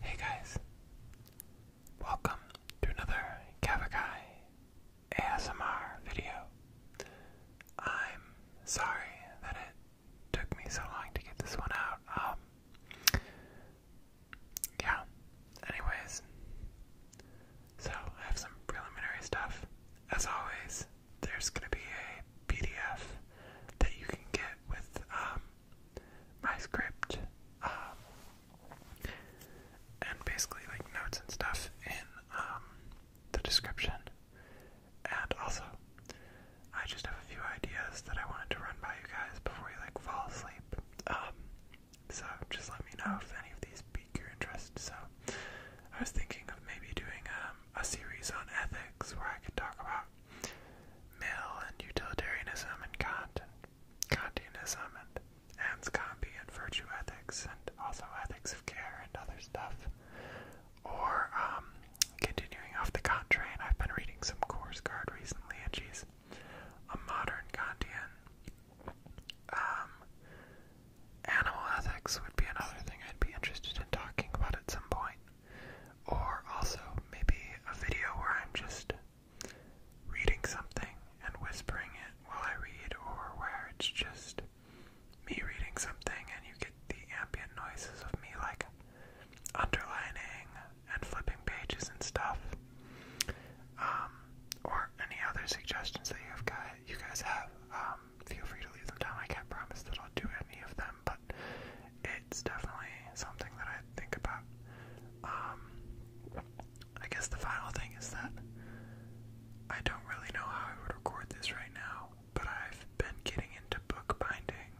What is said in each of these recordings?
Hey guys, welcome to another Kavakai ASMR video. I'm sorry that it took me so long to get this one out. Um, yeah, anyways, so I have some preliminary stuff. As always, there's gonna be a PDF that you can get with um, my script, um, and basically like notes and stuff in um, the description. And also, I just have a few ideas that I wanted to run by you guys before you like fall asleep. Um, so just let me know if any of these pique your interest. So I was thinking of maybe doing a series on ethics where I could talk about Mill and utilitarianism and Kant and Kantianism and Anscombe and virtue ethics and also ethics of care and other stuff. Or um, continuing off the Kant train, I've been reading some course card recently, and she's a modern Kantian. Um, animal ethics would be another thing I'd be interested in talking about at some point. Or also maybe a video where I'm just reading something and whispering it while I read, or where it's just me reading something and you get the ambient noises of me like underlining and flipping pages and stuff. Um, or any other suggestions that you have got, you guys have, um, feel free to leave them down. I can't promise that I'll do any of them them, but it's definitely something that I think about. Um, I guess the final thing is that I don't really know how I would record this right now, but I've been getting into bookbinding,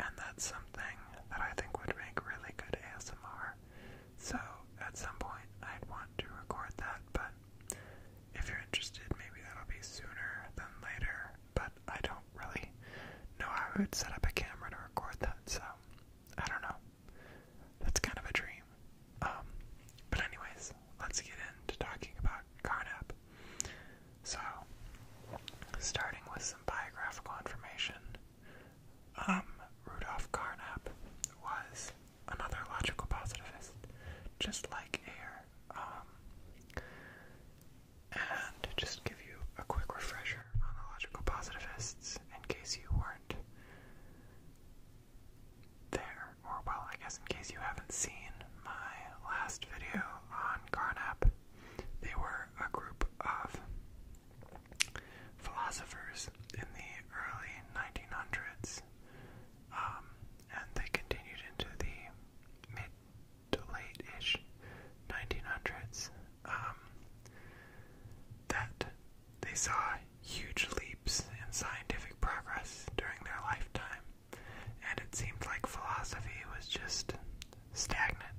and that's something that I think would make really good ASMR. So at some point, I'd want to record that, but if you're interested, maybe that'll be sooner than later but I don't really know how I set up a camera to record that, so I don't know. That's kind of a dream. Um, but anyways, let's get into talking about Carnap. So, starting with some biographical information, um, Rudolf Carnap was another logical positivist, just like Ayer. Um, and just give you a quick refresher on the logical positivists in case you weren't there, or well, I guess in case you haven't seen my last video on Carnap. They were a group of philosophers in the early 1900s, um, and they continued into the mid to late-ish 1900s, um, that they saw huge leaps in scientific progress during their lifetime, and it seemed like philosophy was just stagnant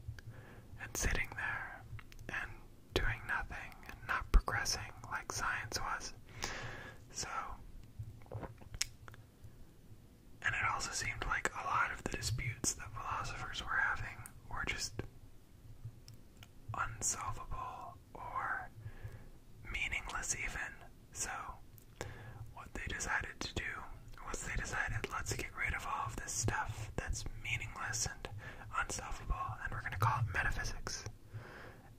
and sitting there and doing nothing and not progressing like science was. So and it also seemed like a lot of the disputes that philosophers were having were just unsolvable or meaningless, even. So, what they decided to do was they decided, let's get rid of all of this stuff that's meaningless and unsolvable, and we're going to call it metaphysics.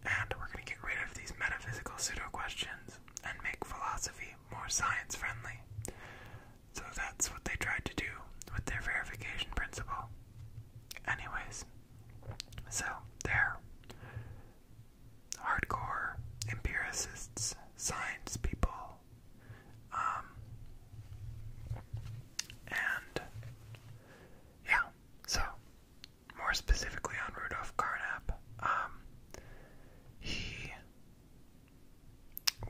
And we're going to get rid of these metaphysical pseudo questions and make philosophy more science friendly. So that's what they tried to do with their verification principle. Anyways, so there. Hardcore empiricists, science people, um, and yeah, so more specifically on Rudolf Carnap, um, he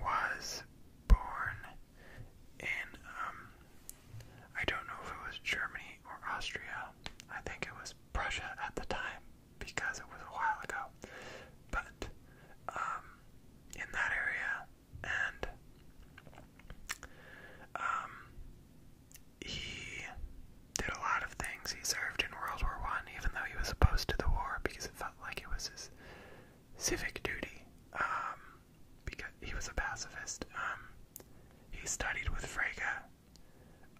was born in, um, I don't know if it was Germany or Austria. I think it was Prussia at the time because it was a while ago. But, um, in that area, and, um, he did a lot of things. He served in World War One, even though he was opposed to the war because it felt like it was his civic duty um, because he was a pacifist. Um, he studied with Frege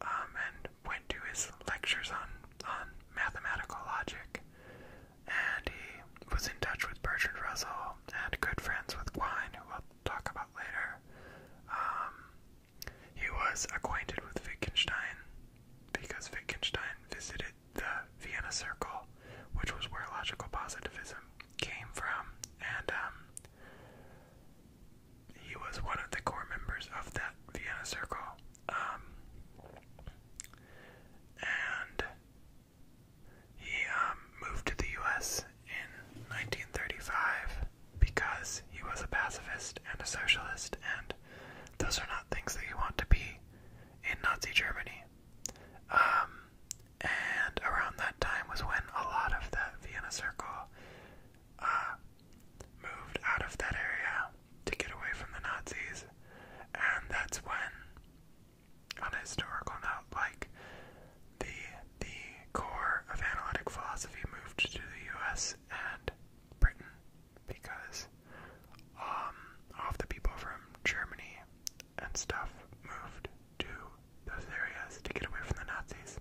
um, and went to his lectures on, on mathematical logic. And he was in touch with Bertrand Russell and good friends with Quine, who we'll talk about later. Um, he was acquainted with Wittgenstein because Wittgenstein visited the Vienna Circle, which was where logical positivism came from, and um, he was one of the core members of that Vienna Circle. Um, and he um, moved to the U.S. in 1935 because he was a pacifist and a socialist, and those are not things that you want to be in Nazi Germany. Um, and around that time was when a lot of that Vienna Circle uh, moved out of that area to get away from the Nazis, and that's when, on a historical note, like the the core of analytic philosophy moved to the U.S. and Britain because um, all the people from Germany and stuff moved to those areas to get away from the Nazis.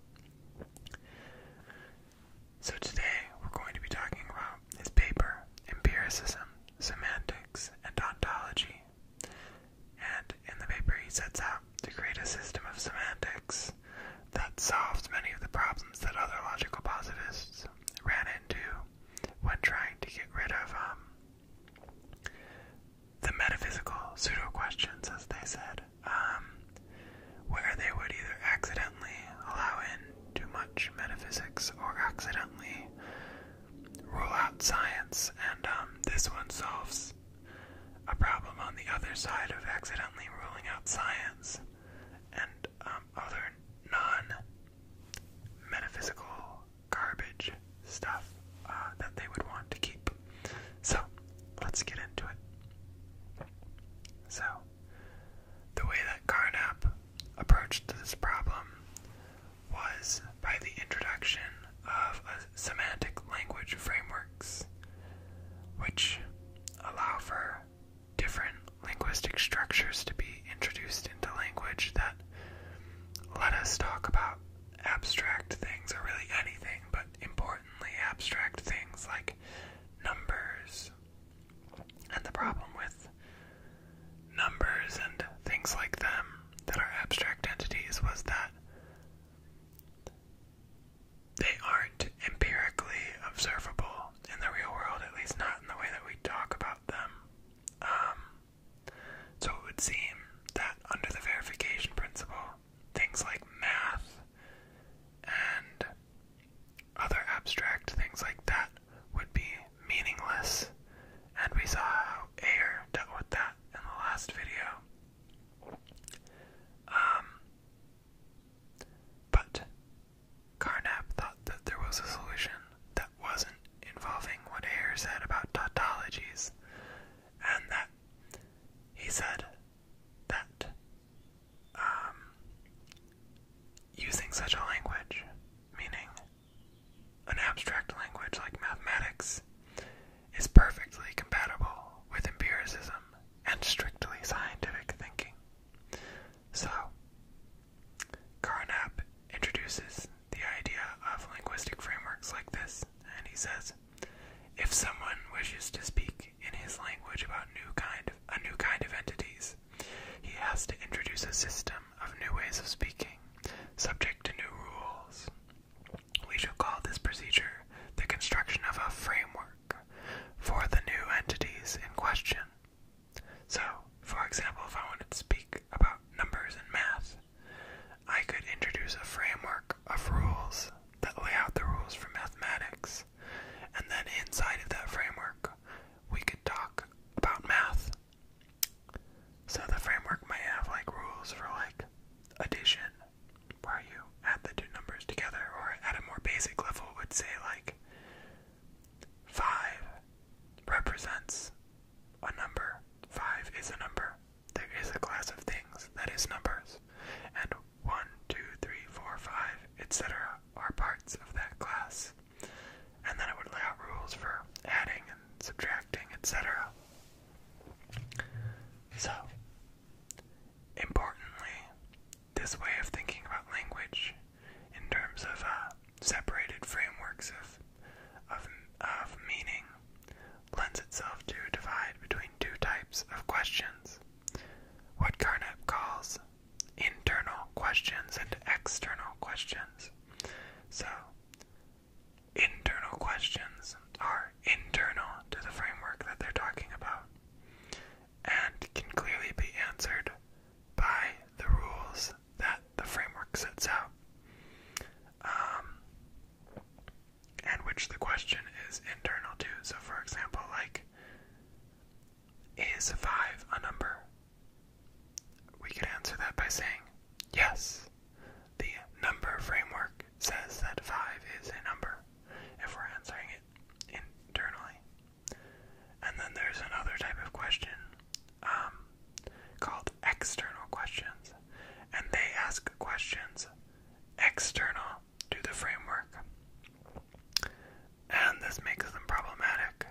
So today we're going to be talking about his paper, Empiricism, Semantics, and Ontology. And in the paper he sets out to create a system of semantics that solves many of the problems that other logical positivists ran into when trying to get rid of um, the metaphysical pseudo questions, as they said, um, where they would either accidentally allow in too much metaphysics or accidentally rule out science. And um, this one solves a problem on the other side of accidentally ruling out science. And um, other non-metaphysical garbage stuff uh, that they would want to keep. So let's get into it. So the way that Carnap approached this problem was by the introduction of semantic language frameworks, which allow for different linguistic structures to be introduced into language that let us talk about abstract things, or really anything, but importantly, abstract things like numbers. And the problem with numbers and things like them that are abstract entities was that they aren't empirically observable in the real world, at least not in the way that we talk about them. Um, so it would seem that under the verification principle, things like math and other abstract things like that would be meaningless, and we saw how Ayer dealt with that in the last video. Um, but Carnap thought that there was a solution that wasn't involving what Ayer said about tautologies, and that he said that um, using such a language, meaning an abstract language like mathematics, is perfectly compatible with empiricism and strictly scientific thinking. So, Carnap introduces the idea of linguistic frameworks like this, and he says, if someone wishes to speak in his language about new kind a new kind of entities, he has to introduce a system of new ways of speaking, subject to new rules. We shall call this procedure the construction of a framework for the new entities in question. So, for example, if I wanted to speak about numbers and math, I could introduce a framework of rules that lay out the rules for mathematics, and then inside of that framework, we could talk about math. So the framework may have like rules for like addition, where you add the two numbers together, or at a more basic level, would say like Five represents a number. Five is a number. There is a class of things that is numbers. And one, two, three, four, five, etc. are parts of that class. And then I would lay out rules for adding and subtracting, etc. So, importantly, this way of thinking about language in terms of uh, separated frameworks of, of, of meaning lends itself to divide between two types of questions what Carnap calls internal questions and external questions. So, internal questions are internal to the framework that they're talking about, and can clearly be answered by the rules that the framework sets out, um, and which the question is internal to. So, for example, like, is 5 a number? We could answer that by saying, yes, the number framework says that 5 is a number if we're answering it internally. And then there's another type of question um, called external questions, and they ask questions external to the framework. And this makes them problematic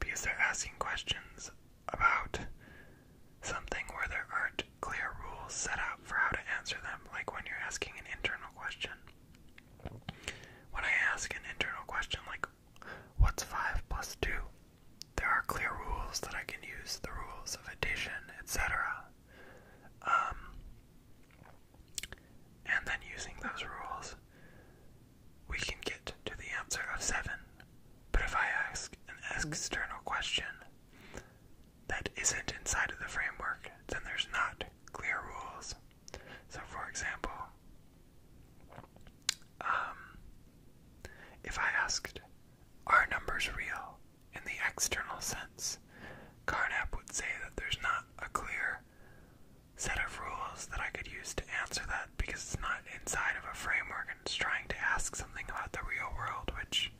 because they're asking questions about something where there aren't clear rules set out for how to answer them, like when you're asking an internal question. When I ask an internal question like, what's 5 plus 2? There are clear rules that I can use, the rules of addition, etc. Um, and then using those rules, we can get to the answer of 7. But if I ask an external question that isn't inside of the framework, then there's not clear rules so, for example, um, if I asked, are numbers real in the external sense? Carnap would say that there's not a clear set of rules that I could use to answer that because it's not inside of a framework and it's trying to ask something about the real world, which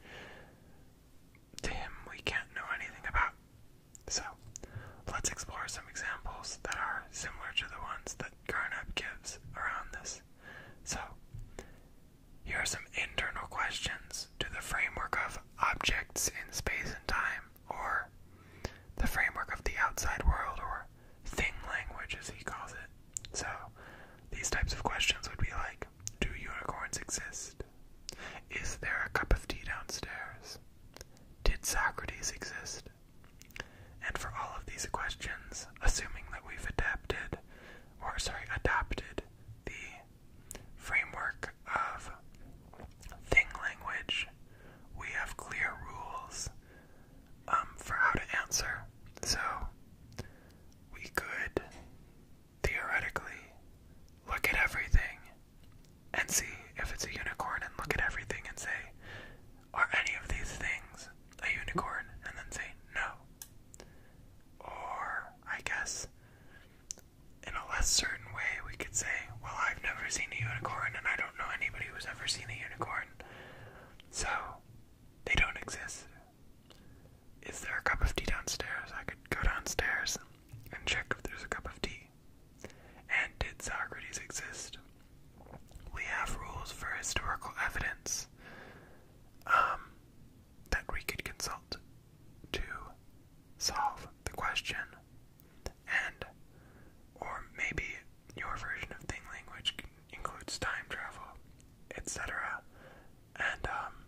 to him we can't know anything about. So, let's explore some examples that are similar to the ones that Grown gives around this. So, here are some internal questions to the framework of objects in space and time, or the framework of the outside world, or thing language as he calls it. So, these types of questions would be like Do unicorns exist? Is there a cup of tea downstairs? Did Socrates exist? And for all of these questions, assuming that we've adapted, or sorry, adapted the framework of thing language, we have clear rules um, for how to answer. So we could theoretically look at everything and see if it's a unicorn and look at everything and say, Are any of these things a unicorn? And then say no. Or, I guess, in a less certain way, we could say, Well, I've never seen a unicorn and I don't know anybody who's ever seen a unicorn. So, they don't exist. Is there a cup of tea downstairs? I could go downstairs and check if there's a cup of tea. And did Socrates exist? We have rules for historical evidence um, that we could consult to solve the question. And, or maybe your version of thing language includes time travel, etc. And um,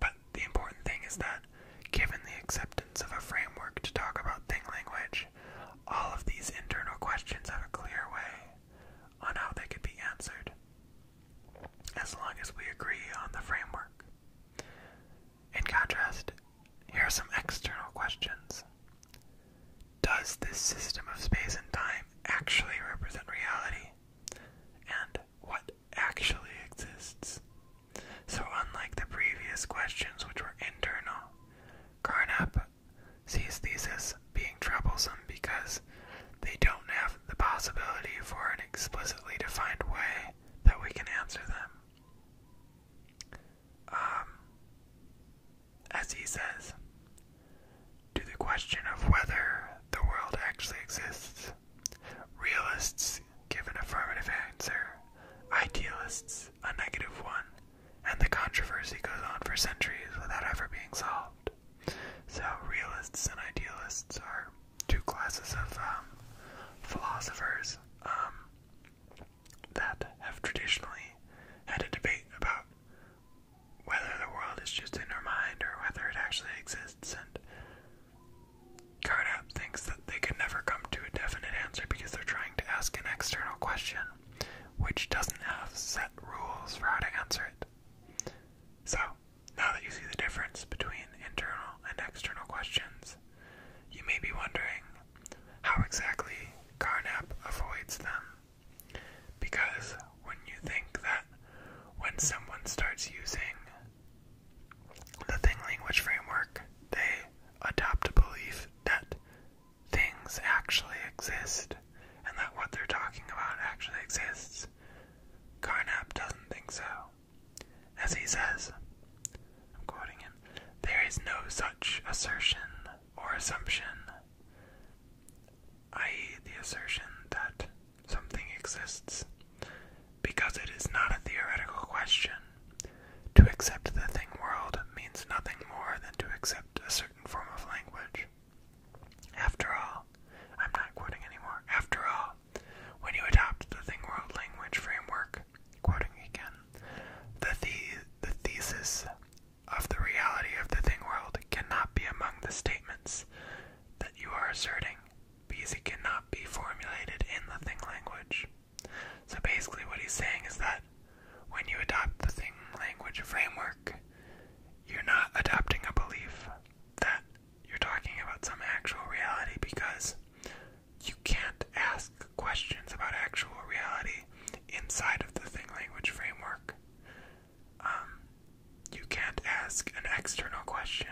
but the important thing is that, given the acceptance of a framework to talk about thing language, all of these internal questions have a clear way on how they could be answered, as long as we agree on the framework. In contrast, here are some external questions. Does this system of space and time actually represent reality? And what actually exists. So, unlike the previous questions, which were internal, Carnap sees these as being troublesome because they don't have the possibility for an explicitly defined way that we can answer them. Um, as he says, to the question of whether the world actually exists, realists Given affirmative answer, idealists a negative one, and the controversy goes on for centuries without ever being solved. So, realists and idealists are two classes of um, philosophers um, that have traditionally had a debate about whether the world is just in our mind or whether it actually exists, and Karnap thinks that they can never come to a definite answer because they're trying to ask an external question, which doesn't have set rules for how to answer it. So, now that you see the difference between internal and external questions, you may be wondering how exactly Carnap avoids them. Because when you think that when someone starts using the Thing Language Framework, they adopt a belief that things actually exist and that what they're talking about actually exists. Carnap doesn't think so. As he says, I'm quoting him, there is no such assertion or assumption, i.e., the assertion that something exists because it is not a theoretical question, to accept the thing world means nothing more than to accept a certain form of language. After all, I'm not quoting anymore. After all, when you adopt the thing world language framework, quoting again, the, the, the thesis of the reality of the thing world cannot be among the statements that you are asserting because it cannot be formulated in the thing language. So basically, what he's saying is that when you adopt the thing language framework, you're not adopting a belief that you're talking about some actual reality because you can't ask questions about actual reality inside of the thing language framework. Um, you can't ask an external question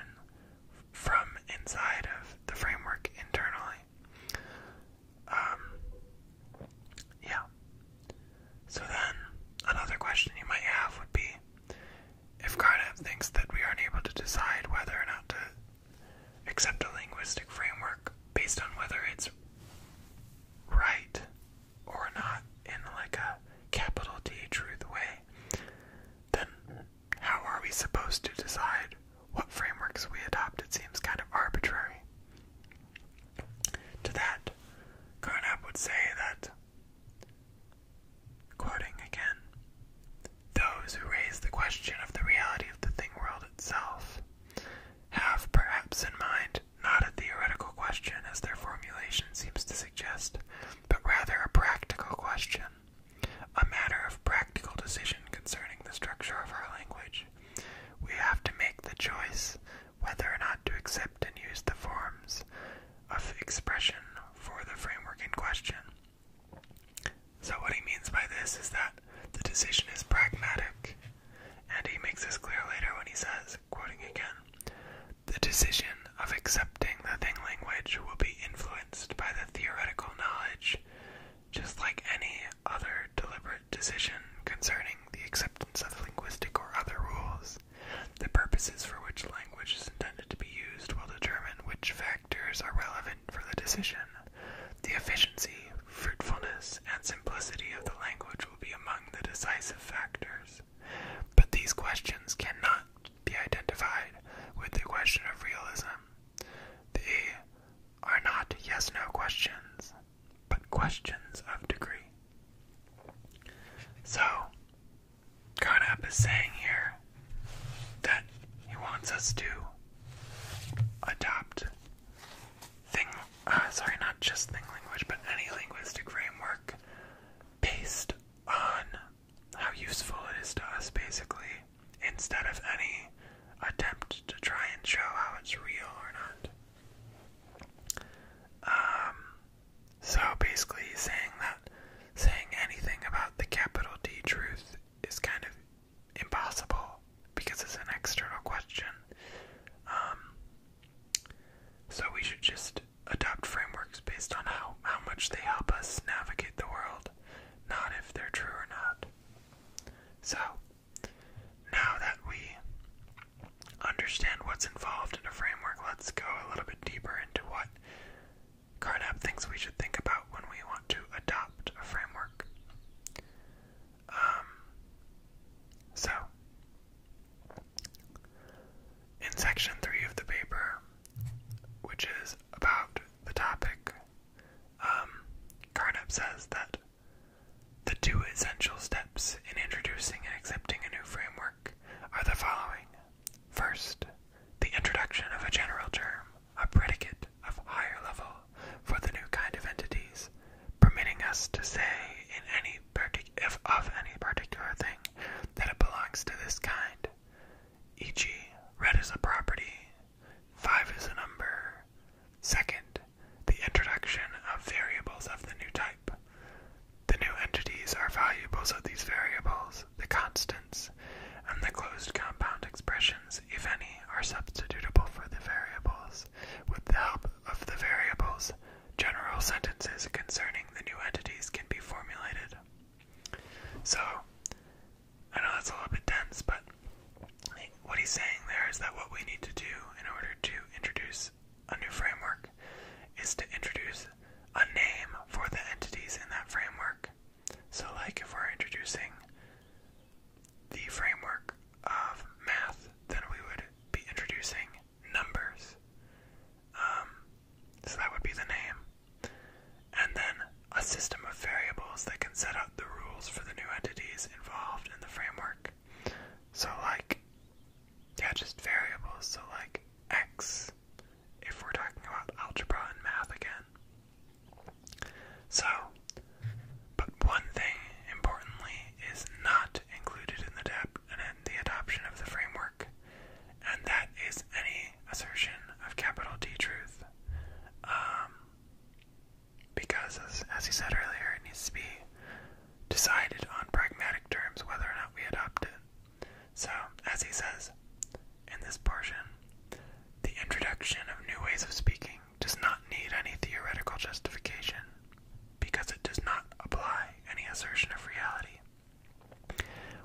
from inside of the framework internally. Um, yeah. So then, another question you might have would be if Carnap thinks that we aren't able to decide whether or not to accept a linguistic framework based on whether it's right or not in like a capital T truth way, then how are we supposed to decide what frameworks we adopt? It seems kind of arbitrary. To that, Carnap would say that, quoting again, those who raise the question of the reality of the thing world itself have perhaps in mind not a theoretical question as their formulation seems to suggest, but rather a practical question a matter of practical decision concerning the structure of our language. We have to make the choice whether or not to accept and use the forms of expression for the framework in question. So, what he means by this is that the decision is pragmatic, and he makes this clear later when he says, quoting again, the decision of acceptance accepting the thing language will be influenced by the theoretical knowledge, just like any other deliberate decision concerning the acceptance of linguistic or other rules. The purposes for which language is intended to be used will determine which factors are relevant for the decision. The efficiency, fruitfulness, and simplicity of the language will be among the decisive factors. But these questions cannot be identified with the question of realism. They are not yes no questions, but questions of degree. So, Carnap is saying here that he wants us to adopt thing, uh, sorry, not just thing language, but any linguistic framework based on how useful it is to us, basically, instead of any attempt to try and show how it's real or not. Um, so basically, saying that, saying anything about the capital D truth is kind of impossible because it's an external question. Um, so we should just adopt frameworks based on how, how much they help us navigate the world, not if they're true or not. So, now that we understand what's involved in a framework, let's go a little bit deeper into what Carnap thinks we should think about when we want to adopt a framework. Um, so, in section three of the paper, which is about the topic. Um, Carnap says that the two essential steps in introducing and accepting a new framework are the following. First, the introduction of a general term, a predicate of higher level for the new kind of entities, permitting us to say in any of any particular thing that it belongs to this kind. E.g., red is a property, five is a number. Second, the introduction of variables of the new type. The new entities are valuables of these variables, the constants, and the closed compound expressions, if any, are substitutable for the variables. With the help of the variables, general sentences concerning the new entities can be formulated. So, I know that's a little bit dense, but what he's saying there is that what we need to do in order to introduce a new framework is to introduce a name for the entities in that framework. So, like if we're introducing the framework of math, then we would be introducing numbers. Um, so that would be the name. And then a system of variables that can set up the rules for the new entities involved in the framework. So, like, yeah, just variables. So, like, x, if we're talking about algebra and math again. So, but one thing importantly is not included in the, in the adoption of the framework, and that is any assertion of capital D truth. Um, because, as he said earlier, it needs to be decided on pragmatic terms whether or not we adopt it. So, as he says in this portion, the introduction of new ways of speaking does not need any theoretical justification because it does not apply any assertion of reality.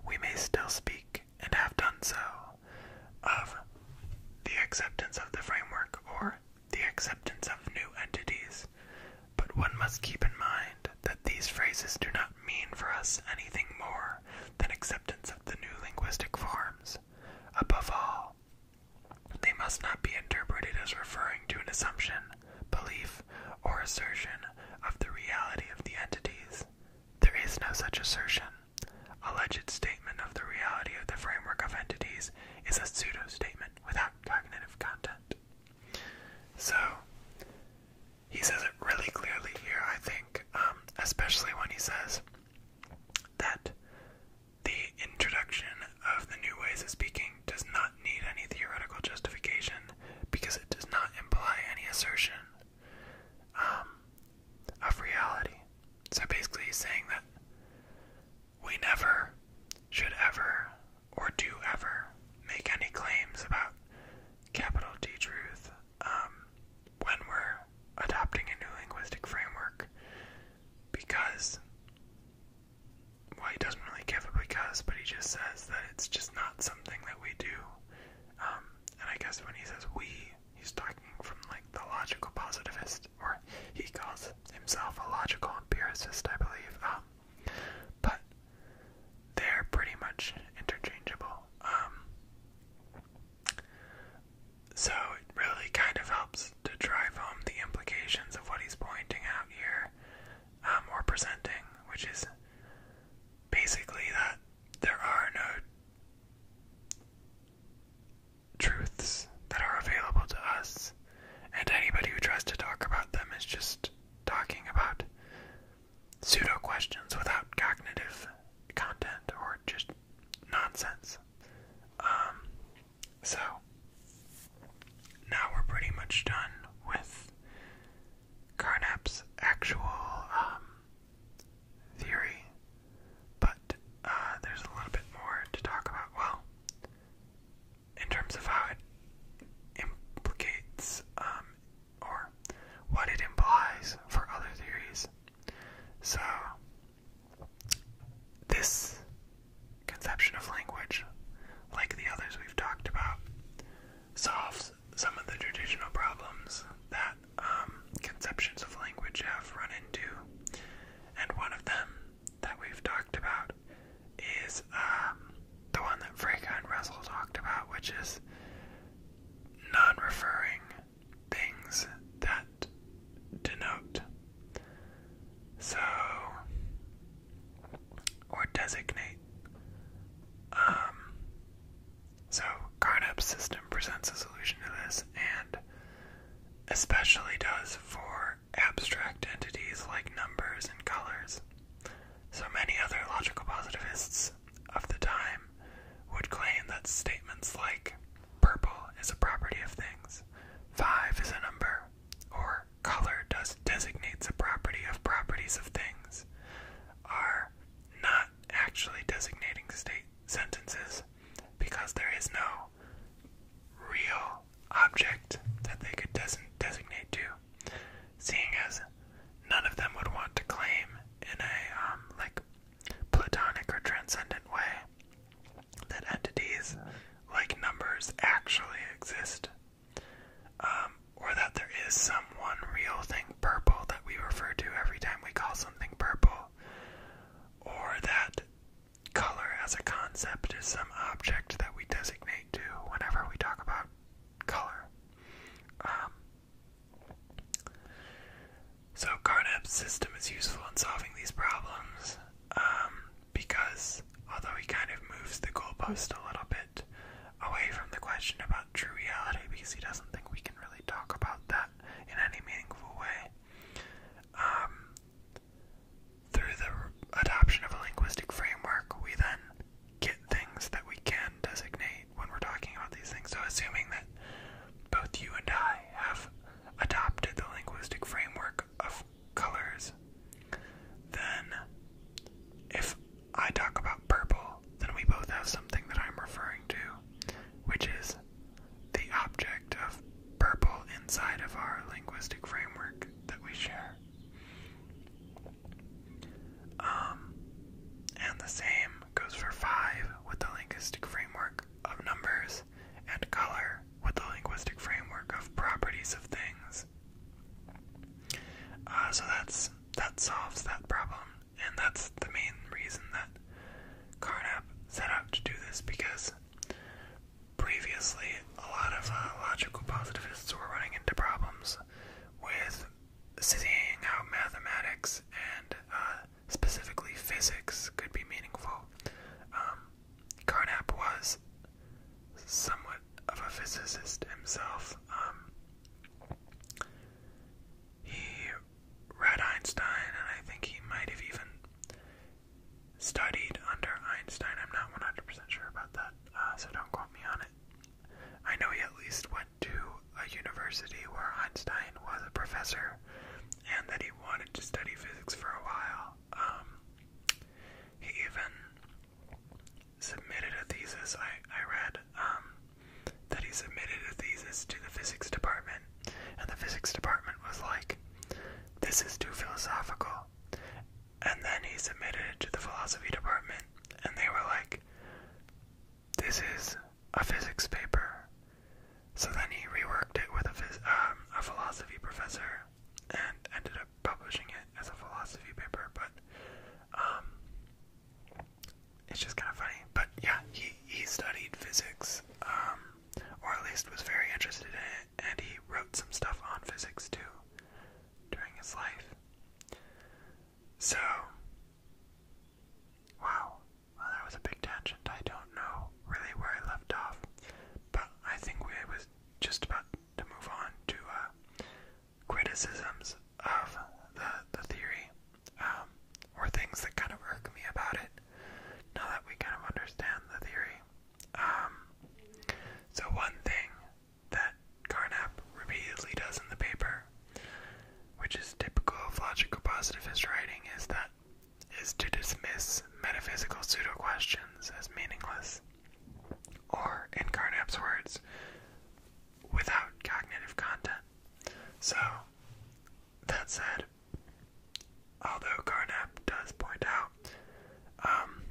We may still speak, and have done so, of the acceptance of the framework or the acceptance of new entities, but one must keep in mind that these phrases do not mean for us anything more than acceptance of the new linguistic forms. Above all, they must not be interpreted as referring to an assumption, belief, or assertion of the reality of the entities. There is no such assertion. Alleged statement of the reality of the framework of entities is a pseudo-statement without cognitive content. So, he says it really clearly here, I think, um, especially when he says that the introduction of the new ways of speaking does not need any theoretical justification because it does not imply any assertion um, of reality. So basically, saying that we never should ever or do ever make any claims about capital T truth um, when we're adopting a new linguistic framework because. Well, he doesn't really give a because, but he just says that it's just not something that we do um, and I guess when he says we, he's talking from like the logical positivist, or he calls himself a logical empiricist, I believe. Um, but they're pretty much interchangeable. Um, so it really kind of helps to drive home the implications of what he's pointing out here um, or presenting, which is basically that there are no truths that are available to us, and anybody who tries to talk about them is just talking about pseudo questions without cognitive content or just nonsense. Um, so now we're pretty much done with Carnap's actual um, theory, but uh, there's a little bit more to talk about. Well, in terms of how it implicates um, or what it implies for other theories. So, this conception of language, like the others we've talked about, solves some of the traditional problems that um, conceptions of language have run into, and one of them that we've talked about is um, the one that Frege and Russell talked about, which is non-referring things that denote. So or designate. Um, so Carnap's system presents a solution to this and especially does for abstract entities like numbers and colors. So many other logical positivists of the time would claim that statements like purple is a property of things, five is a number, or color does designates a property of properties of things are not actually designating state sentences because there is no real object that they could des designate to, seeing as none of them would want to claim in a um, like platonic or transcendent way that entities like numbers actually exist. Um, or that there is some one real thing purple that we refer to every time we call something purple, or that color as a concept is some object that we designate to whenever we talk about color. Um, so Carnap's system is useful in solving these problems um, because although he kind of moves the goalpost a little bit, away from the question about true reality because he doesn't think we can really talk about that in any meaningful way. Um, through the adoption of a linguistic framework, we then get things that we can designate when we're talking about these things. So, assuming that both you and I have adopted the linguistic framework of colors, then if I talk about purple, then we both have something that I'm referring to, which is the object of purple inside of our linguistic framework that we share. Um, and the same goes for five with the linguistic framework of numbers and color with the linguistic framework of properties of things uh, so that's that solves that problem, and that's the main reason that Carnap set out to do this because previously a lot of uh, logical positivists were running into problems with seeing how mathematics and uh, specifically physics could be meaningful. Um, Carnap was was somewhat of a physicist himself. Um, he read Einstein, and I think he might have even studied under Einstein. I'm not 100% sure about that, uh, so don't quote me on it. I know he at least went to a university where Einstein was a professor and that he wanted to study physics for a while. Um, he even submitted a thesis. I I read um, that he submitted a thesis to the physics department, and the physics department was like, "This is too philosophical." And then he submitted it to the philosophy department, and they were like, "This is a physics paper." So then he reworked it with a phys um, a philosophy professor, and ended up publishing it as a philosophy paper, but um it's just kind of funny. But yeah, he he studied physics, um, or at least was very interested in it, and he wrote some stuff on physics too during his life. So, wow, well, that was a big tangent. I don't know really where I left off, but I think we was just about to move on to uh, criticisms of the, the theory um, or things that kind of irk me about it now that we kind of understand the theory. Um, so, one thing that Carnap repeatedly does in the paper, which is typical of logical positivist writing, is that is to dismiss metaphysical pseudo questions as meaningless or in Carnap's words, without cognitive content. So, that said, although Carnap does point out um,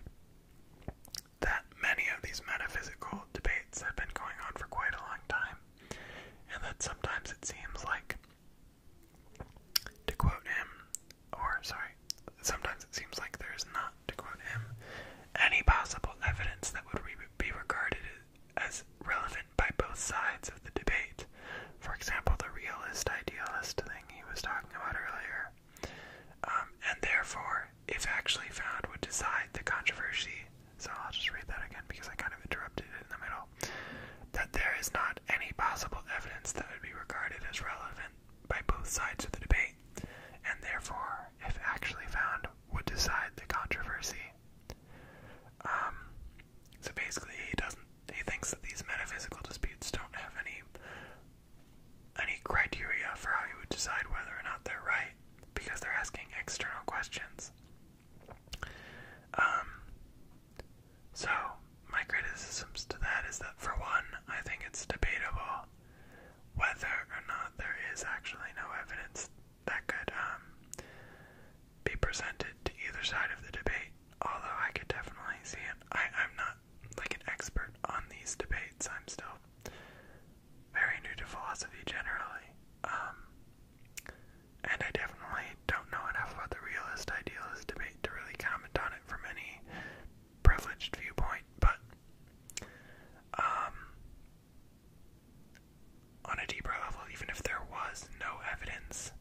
that many of these metaphysical debates have been going on for quite a long time, and that sometimes it seems like, to quote him, or sorry, sometimes it seems like there is not, to quote him, any possible evidence that would be regarded as relevant by both sides of the debate. For example, the realist idealist thing he was talking about earlier. Um, and therefore, if actually found, would decide the controversy. So I'll just read that again because I kind of interrupted it in the middle. That there is not any possible evidence that would be regarded as relevant by both sides of the debate and therefore, if actually found, would decide the controversy. Um, so basically, he doesn't. He thinks that these metaphysical disputes don't have any any criteria for how you would decide whether or not they're right because they're asking external questions. Um, so my criticisms to that is that for one, I think it's debatable whether or not there is actually no evidence that could um, be presented to either side of the debate. Although I could definitely see it, I, I'm not like an expert on these debates. I'm still very new to philosophy generally, um, and I definitely don't know enough about the realist idealist debate to really comment on it from any privileged viewpoint, but um, on a deeper level, even if there was no evidence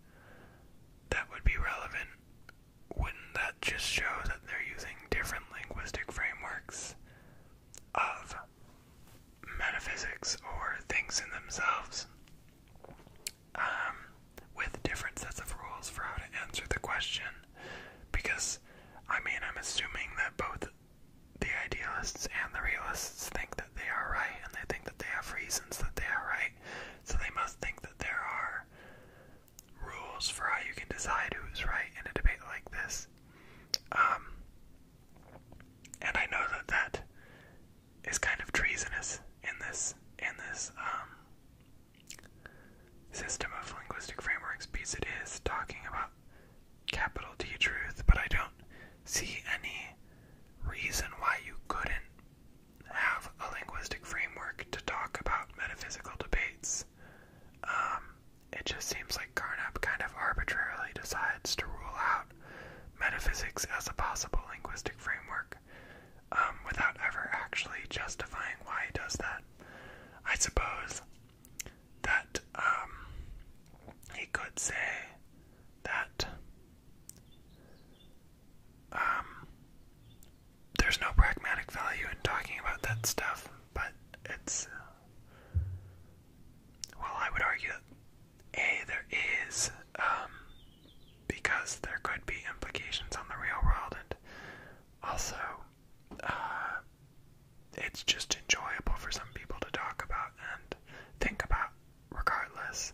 that would be relevant, wouldn't that just show that they're using different linguistic frameworks of metaphysics or things in themselves? Um, with different sets of rules for how to answer the question, because because I mean, I'm assuming that both the idealists and the realists think that they are right, and they think that they have reasons that they are right, so they must think that there are rules for how you can decide who's right in a debate like this. Um, and I know that that is kind of treasonous in this in this um system of linguistic frameworks piece it is talking about capital T truth, but I don't see any reason why you couldn't have a linguistic framework to talk about metaphysical debates. Um, it just seems like Carnap kind of arbitrarily decides to rule out metaphysics as a possible linguistic framework um, without ever actually justifying why he does that. I suppose that um, he could say that um, there's no pragmatic value in talking about that stuff, but it's. Uh, well, I would argue that A, there is, um, because there could be implications on the real world, and also uh, it's just enjoyable for some people to talk about and think about, regardless.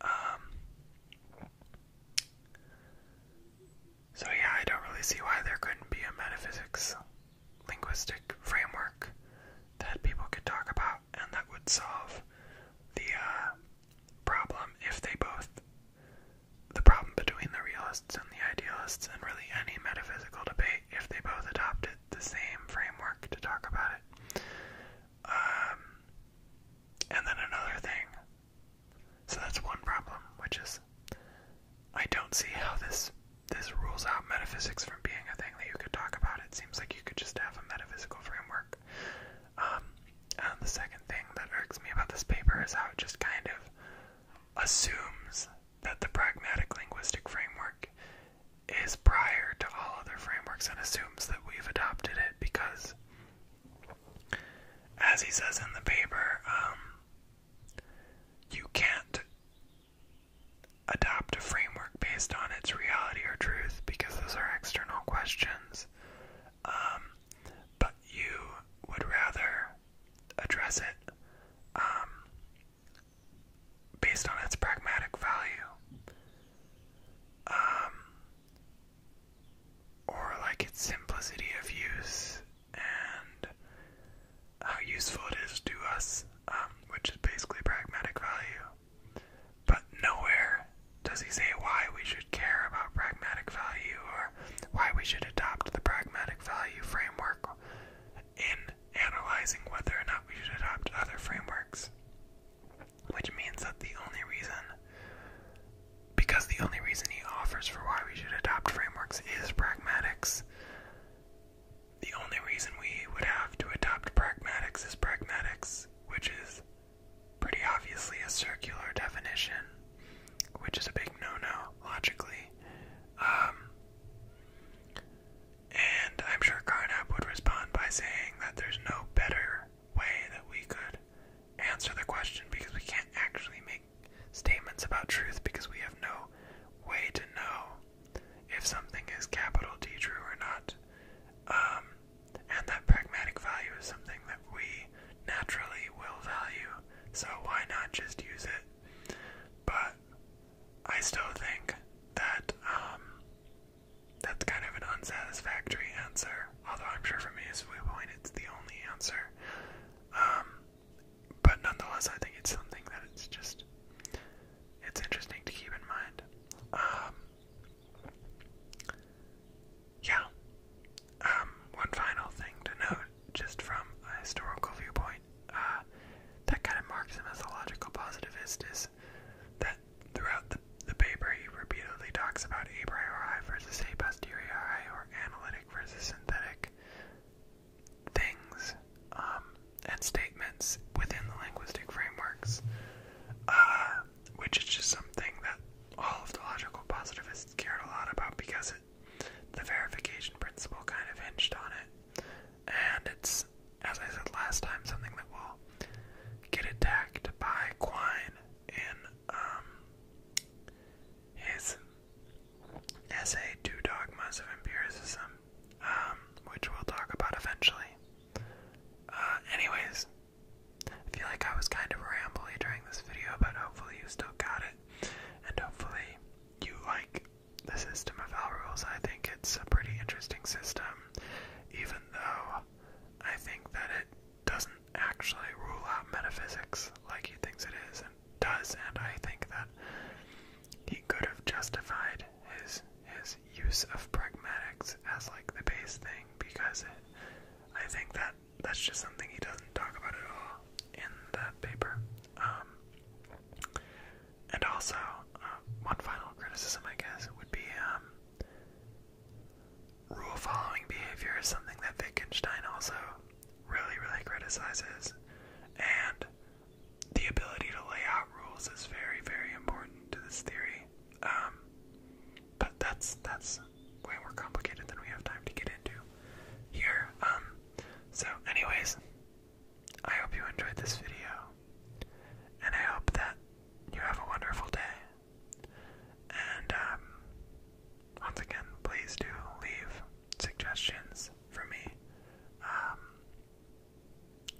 Um, so, yeah, I don't really see why there couldn't be a metaphysics linguistic framework that people could talk about and that would solve the uh, problem if they both the problem between the realists and the idealists, and really any metaphysical debate, if they both adopted the same framework to talk about it. Um, and then another thing. So that's one problem, which is I don't see how this this rules out metaphysics from being a thing that you could talk about. It seems like you could just have a metaphysical framework. Um, um, the second thing that irks me about this paper is how it just kind of assumes that the pragmatic linguistic framework is prior to all other frameworks and assumes that we've adopted it because, as he says in the paper, um, you can't adopt a framework based on its reality or truth because those are external questions um, but you would rather address it um, based on its pragmatic value, um, or like its simplicity of use and how useful it is to us, um, which is basically pragmatic value. But nowhere does he say why we should care about pragmatic value or why we should adopt the pragmatic value framework in analyzing whether or not we should adopt other frameworks. Which means that the only reason, because the only reason he offers for why we should adopt frameworks is pragmatics, the only reason we would have to adopt pragmatics is pragmatics, which is pretty obviously a circular definition, which is a big no-no logically. Um, and I'm sure Carnap would respond by saying that there's no better way that we could answer the question because we can't actually make statements about truth because we have no way to know if something is capital T true or not. Um, and that pragmatic value is something that we naturally will value, so why not just use it? But I still think that um, that's kind of an unsatisfactory answer, although I'm sure from his viewpoint it's the only answer. Um, but nonetheless, I think it's something that it's just it's interesting to keep in mind. Um, yeah. Um, one final thing to note, just from a historical viewpoint, uh, that kind of marks him as a logical positivist is that throughout the, the paper he repeatedly talks about a priori versus a posteriori or analytic versus synthetic things um, and statements within the linguistic frameworks. Uh, which is just something that all of the logical positivists cared a lot about because the verification principle kind of hinged on it. And it's, as I said last time, something that will get attacked by Quine in um, his essay Two Dogmas of Empiricism, um, which we'll talk about eventually. Uh, anyways, I feel like I was kind of rambly during this video, but hopefully you still got it. And hopefully you like the system of L rules. I think it's a pretty interesting system, even though I think that it doesn't actually rule out metaphysics like he thinks it is and does, and I think that he could have justified his his use of pragmatics as like the base thing because it, I think that that's just something he doesn't talk about at all in that paper. Um, and also, uh, one final criticism, I guess, would be um, rule following behavior is something that Wittgenstein also really, really criticizes. And the ability to lay out rules is very, very important to this theory. Um, but that's that's way more complicated than we have time to get into here. Um so anyways, I hope you enjoyed this video. And I hope that you have a wonderful day. And um once again, please do leave suggestions for me. Um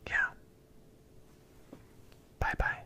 yeah. Bye bye.